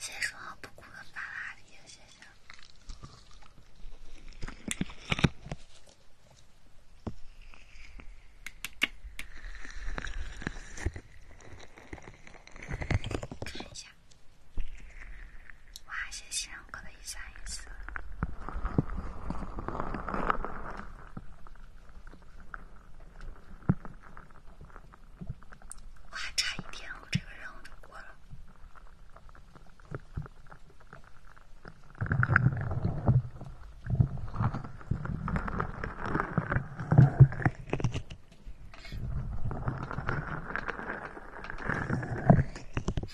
谢谢双不哭的法拉利，谢谢。看一下。哇！谢谢，我过了一三一四，我还差一天，我这个人我就过了。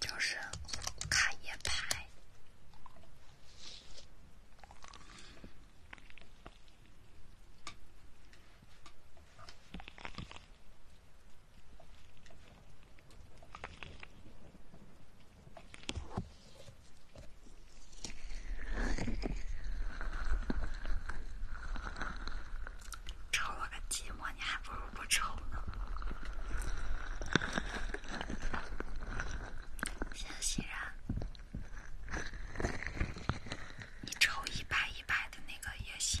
就是卡叶牌。抽了个寂寞，你还不如不抽呢。欣欣然，你抽一百一百的那个也行。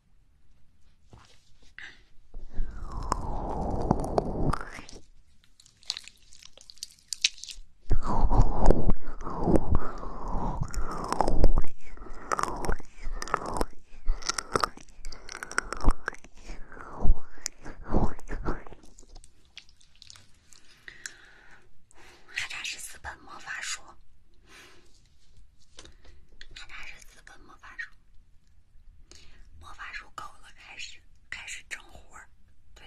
还差十四本魔法书。他那是资本魔法书，魔法书搞了，开始开始整活儿，对，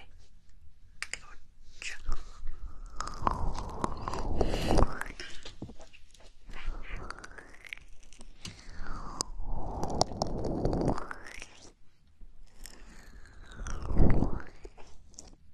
给我整。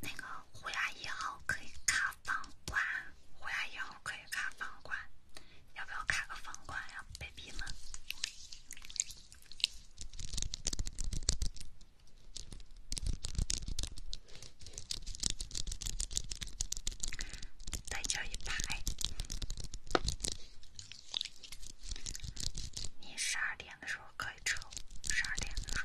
那个虎牙一号可以卡房管，虎牙一号可以卡房管，要不要卡个房管呀，baby 们？再叫一百。你十二点的时候可以撤，十二点的时候。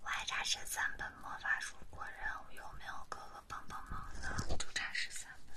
我还差十三本魔法书果然务，有没有哥哥帮帮忙呢？就差十三本。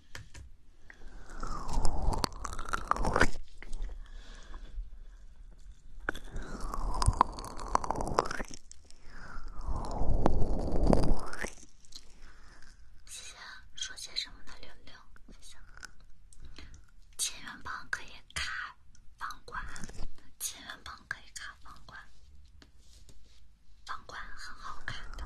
姐姐说些什么呢？六六，千元棒可以卡房管，千元棒可以卡房管。房。款很好看的，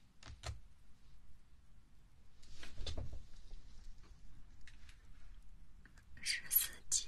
十四集。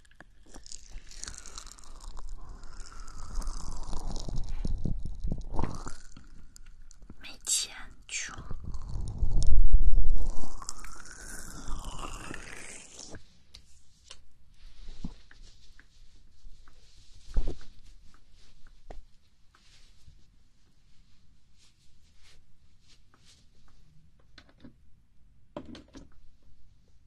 没钱。去了。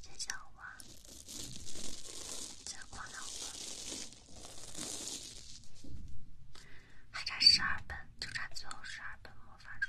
接着往这逛了逛，还差十二本，就差最后十二本魔法书。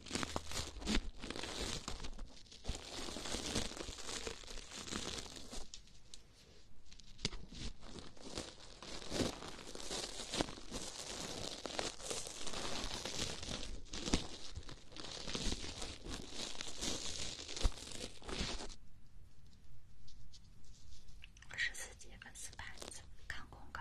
我四节粉丝牌子，看公告。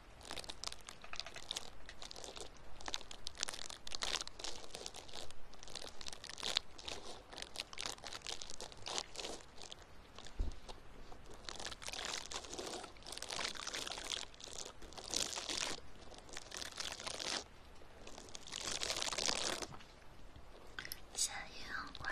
现在也很快。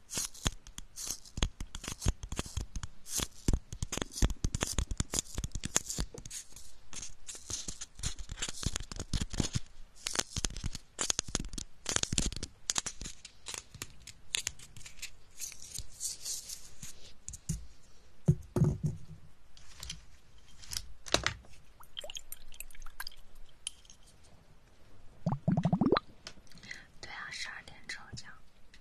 对啊，十二点抽奖。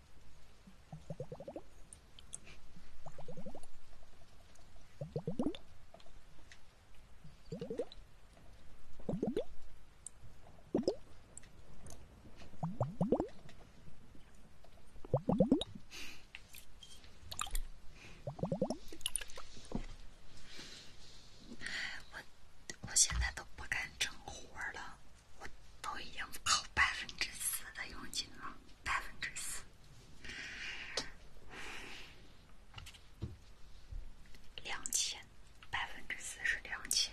我我现在都不敢整活了，我都已经扣百分之四的佣金了。百分之四，两千，百分之四是两千。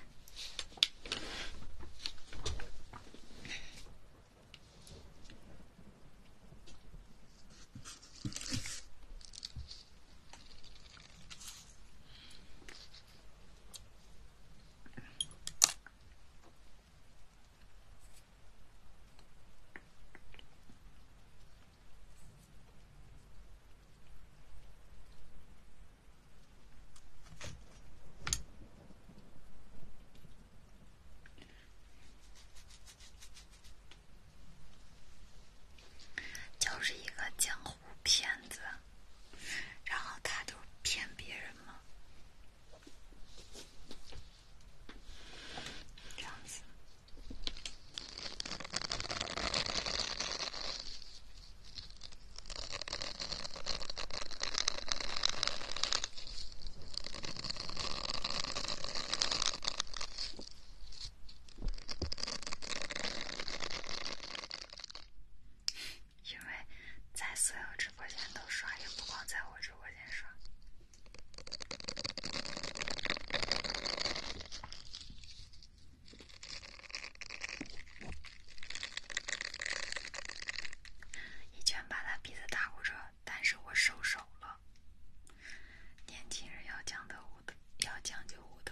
就是一个江湖骗子，然后他就骗别人吗？这样子，因为在所有直播间都刷，也不光在我这。我先说，一拳把他鼻子打骨折，但是我收手了。年轻人要讲德武德，要讲究武德。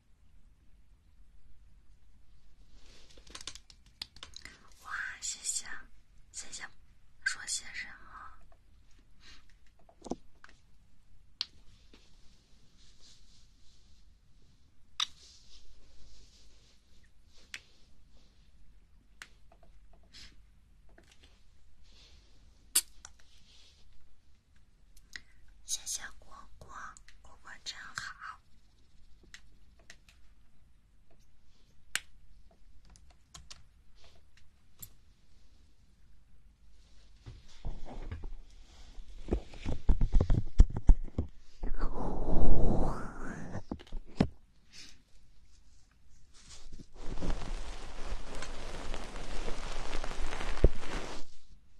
哇，谢谢，谢谢，说些什么？谢谢果果，果果真好。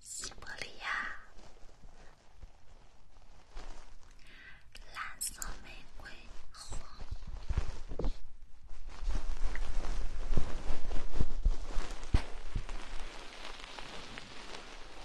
西伯利亚，蓝色玫瑰。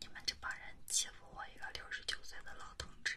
你们这帮人欺负我一个六十九岁的老同志！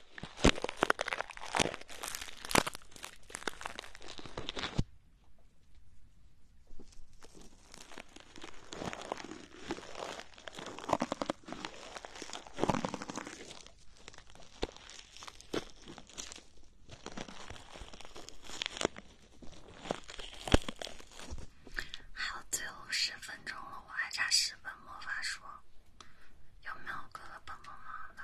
还有最后十分钟了，我还差十本魔法书，有没有哥哥帮帮忙的？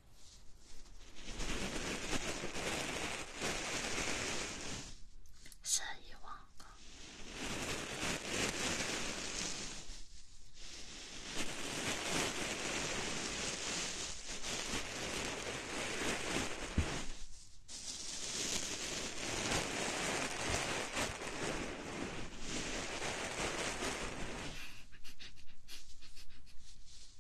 是遗忘的。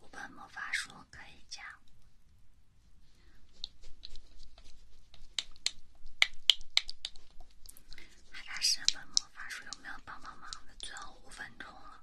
五本魔法书可以加，还差十本魔法书，有没有帮帮忙的？最后五分钟了。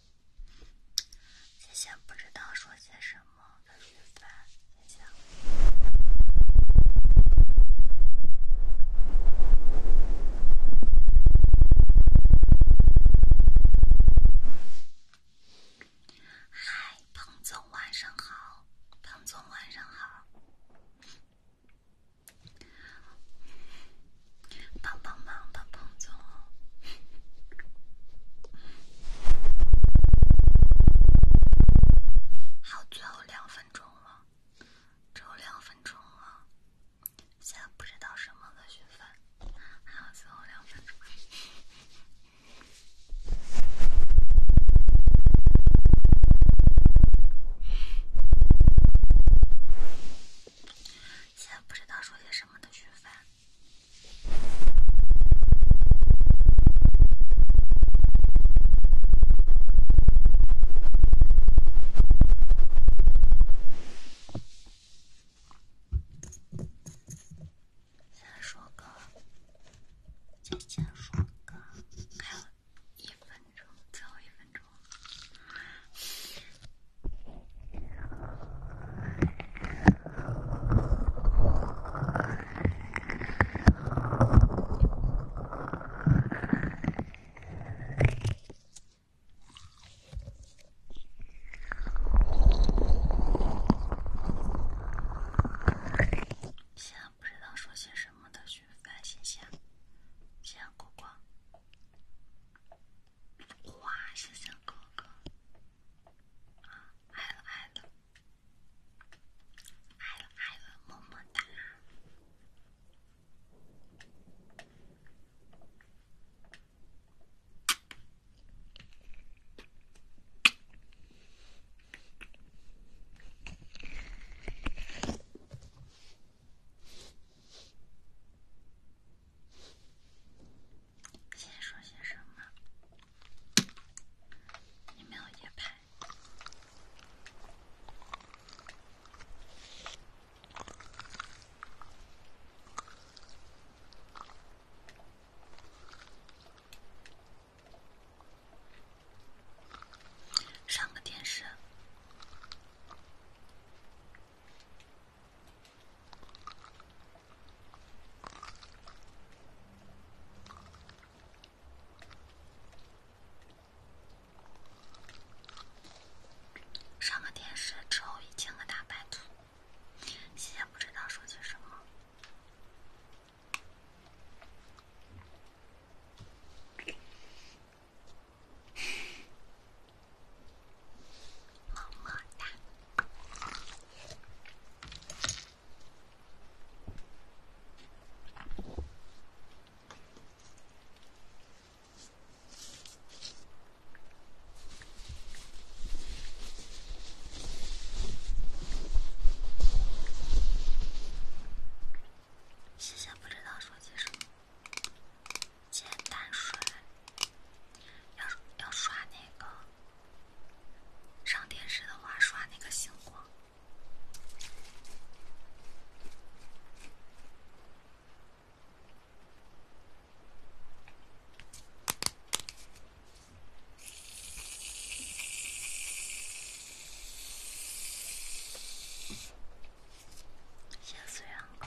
谢谢不知道说些什么的雨凡，谢谢。嗨，彭总，晚上好。彭总，晚上好。帮帮忙，帮帮总！还有最后两分钟了，只有两分钟了。现在不知道什么的讯息，还有最后两分钟。现在不知道说些什么的徐凡，先说个，再讲说个，还有一分钟，最后一分。现在不知道说些什么，都去发信息。夕阳，国光。哇！谢谢哥哥，啊，爱了爱了，爱了爱了，么么哒。先说些什么？你没有夜拍。上个电视。上了电视之后，一千个大白兔，现在不知道说些什么。么么哒！谢谢，不知道说些什么。简单刷，要要刷那个。上电视的话，刷那个星光。吓死我！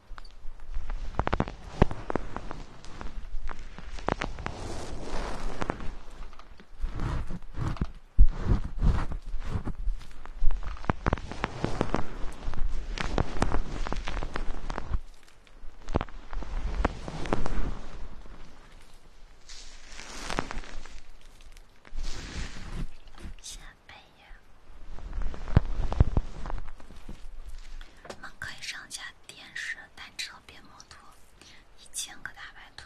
下半夜，上下。电视，单车变摩托，一千个大白兔。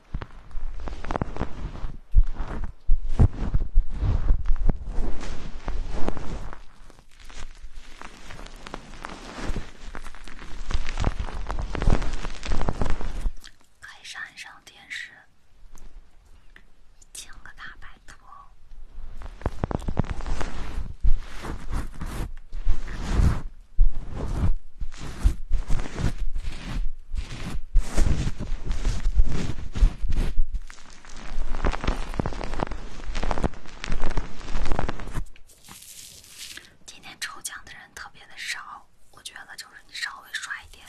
开上一上电视，求个大白兔。今天抽奖的人特别的少，我觉得就是你稍微刷一点，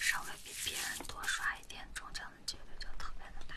稍微比别人多刷一点，中奖的几率就特别的大。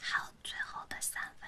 好，最后的三分。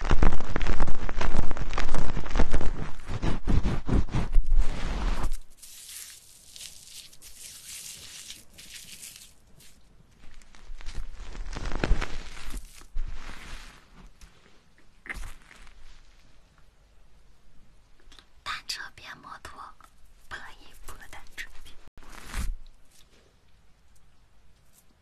单车变摩托，不可以！不，单车变摩托。我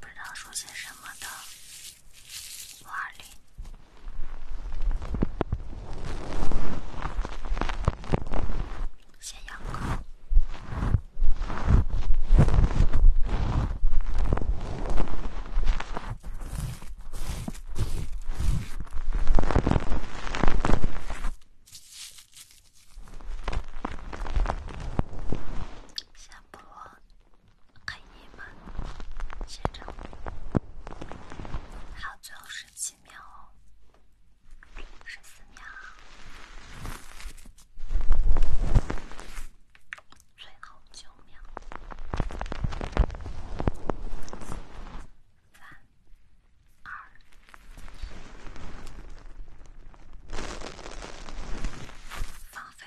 不知道说些什么的，五二零。先养狗，下播。可以吗，先生？还有最后十七秒，十四秒，最后九秒，三、二、一，放飞。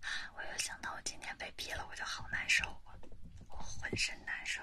啊！我又想到我今天被逼了，我就好难受啊，我浑身难受。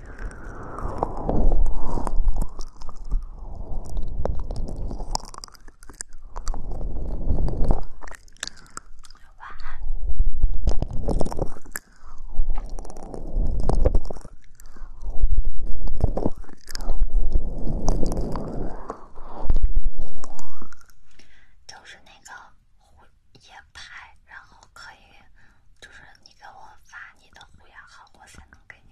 晚安。就是那个呼夜拍，然后可以，就是你给我发你的呼雅号，我才能给你。